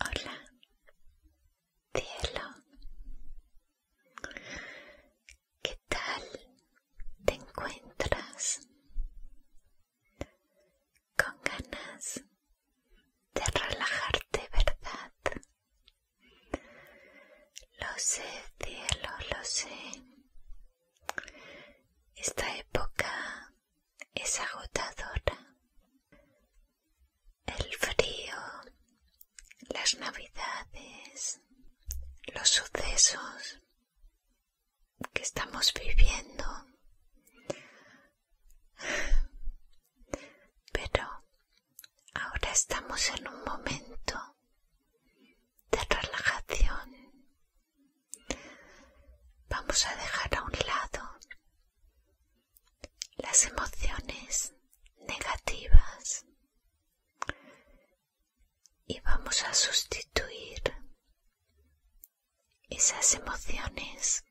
Hola, cielo. ¿Qué tal te encuentras? Con ganas de relajarte, ¿verdad? Lo sé, cielo, lo sé. Esta época es agotadora. El frío, las navidades, los sucesos que estamos viviendo. Pero Ahora estamos en un momento de relajación. Vamos a dejar a un lado las emociones negativas y vamos a sustituir esas emociones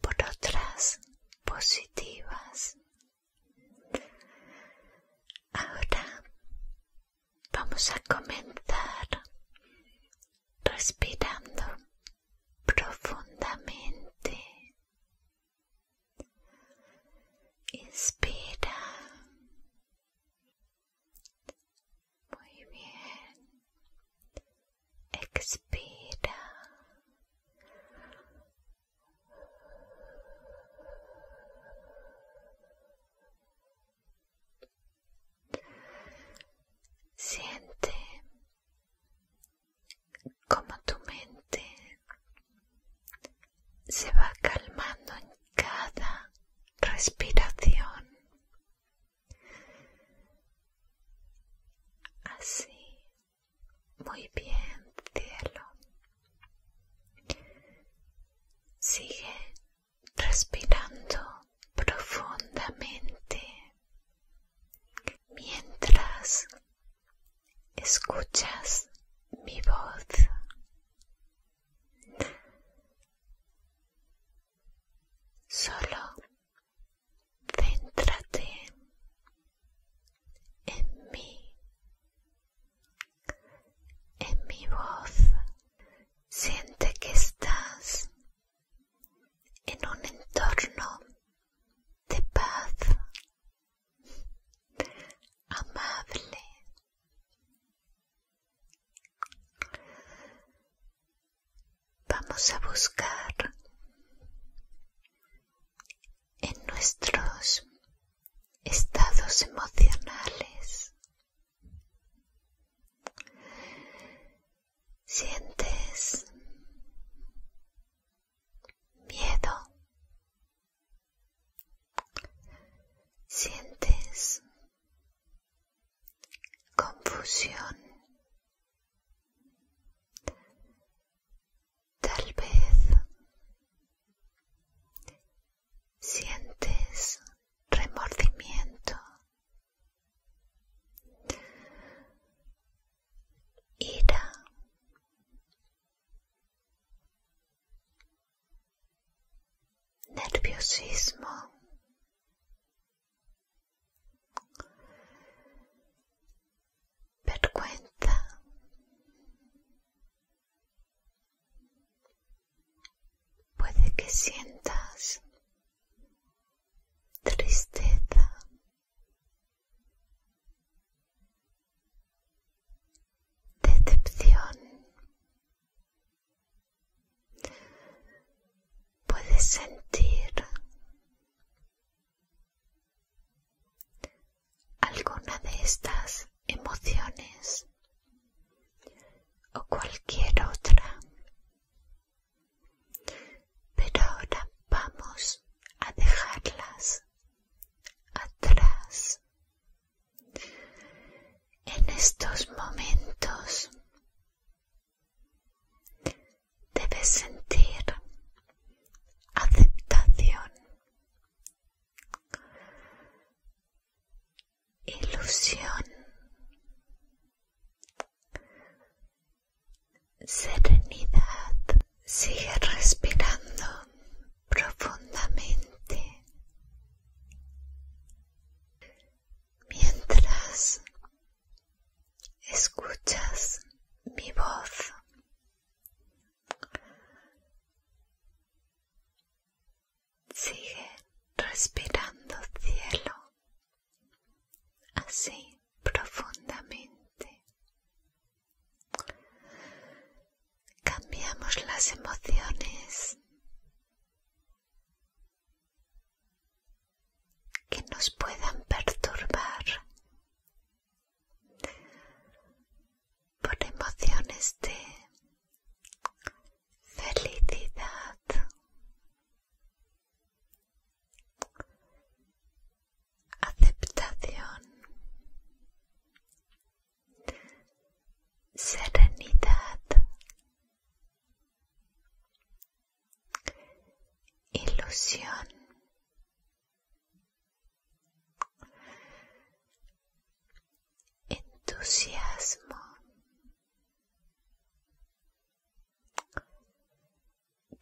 por otras positivas Ahora vamos a comenzar respirando profundamente. Inspira. Muy bien. Expira. Siente como tu mente se va calmando en cada respiración. Así muy bien, cielo. Sigue respirando profundamente mientras escuchas mi voz. Solo Céntrate en mí, en mi voz. Siente que estás en un entorno de paz, amable. Vamos a buscar en nuestros estados emocionales. Sientes miedo. Sientes confusión. Tal vez sientes remordimiento ira nerviosismo vergüenza, puede que sientas tristeza. Decepción. Puedes sentir Alguna de estas emociones o cualquier otra. Pero ahora vamos a dejarlas atrás. En estos momentos Debes sentir aceptación, ilusión, serenidad. Sigue respirando profundamente mientras escuchas mi voz. Sigue respirando cielo así profundamente. Cambiamos las emociones que nos puedan perturbar por emociones de felicidad aceptación serenidad ilusión, entusiasmo,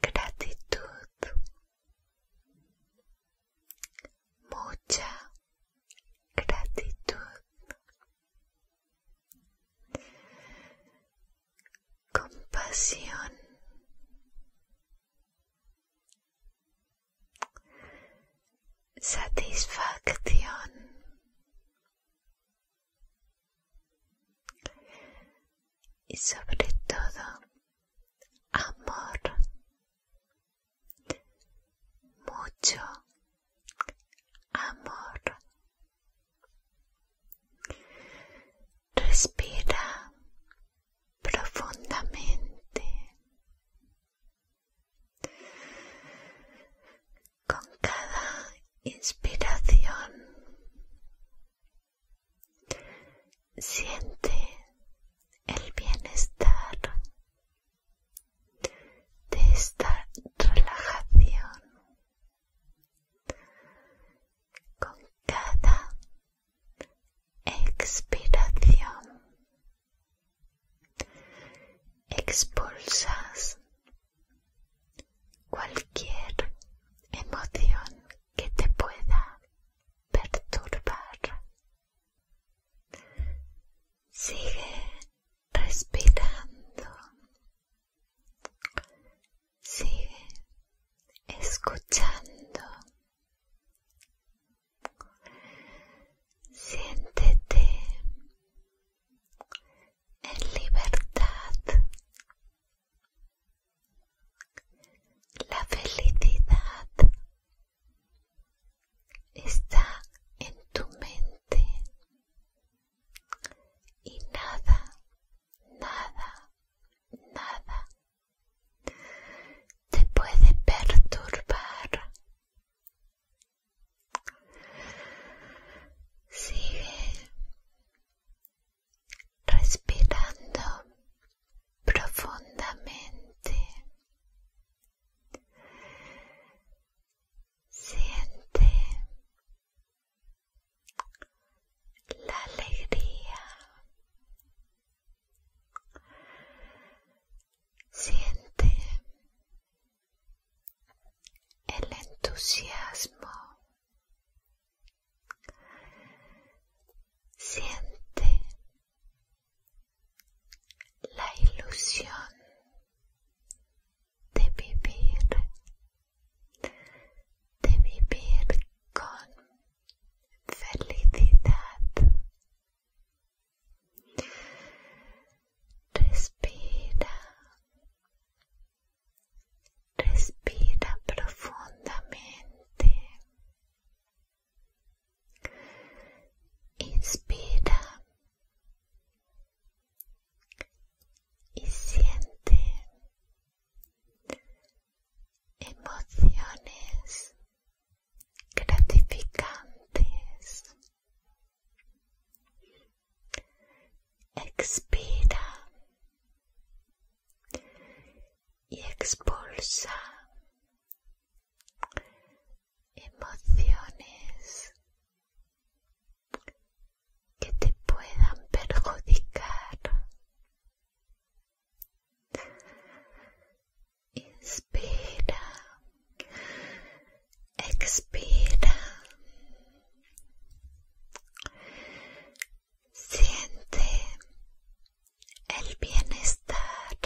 gratitud, mucha gratitud compasión, satisfacción, y sobre todo amor, mucho amor Respira profundamente con cada inspiración. Siente el bienestar de esta relajación con cada expiración expulsas cualquier emoción que te pueda perturbar Sigue respirando. Sigue escuchando. Siéntete en libertad. La felicidad está en tu mente y nada, nada, nada te puede perturbar. Sigue respirando profundamente Siente la alegría. Siente el entusiasmo. Siente la ilusión de vivir, de vivir con felicidad. Respira, respira profundamente. Inspira y siente emociones gratificantes. Expira y expulsa emociones que te puedan perjudicar. Inspira, expira. Siente el bienestar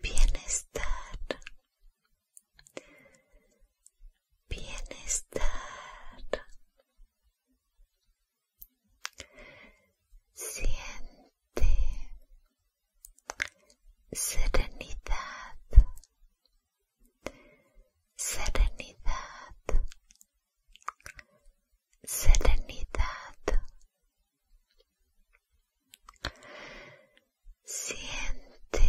bienestar, bienestar. Siente serenidad, serenidad serenidad siente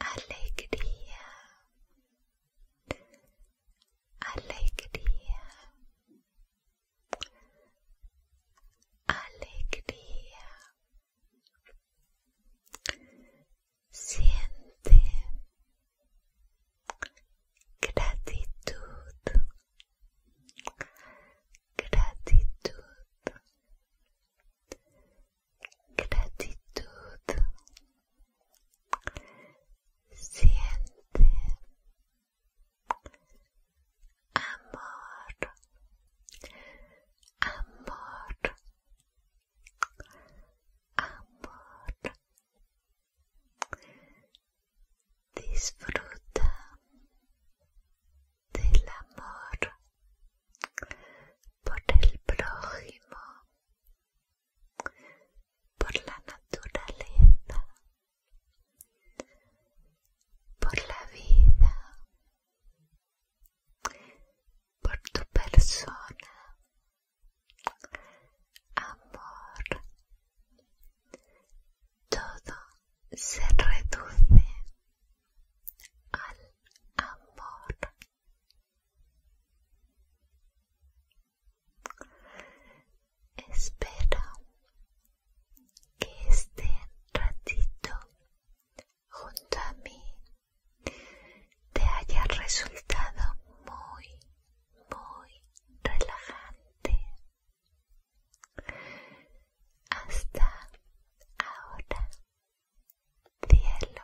alegría alegría alegría siente gratitud, gratitud, gratitud, siente amor, amor, amor disfruta del amor por el prójimo por la naturaleza por la vida por tu persona amor, todo se reduce al amor. Espero que este ratito junto a mí te haya resultado muy, muy relajante. Hasta ahora, cielo.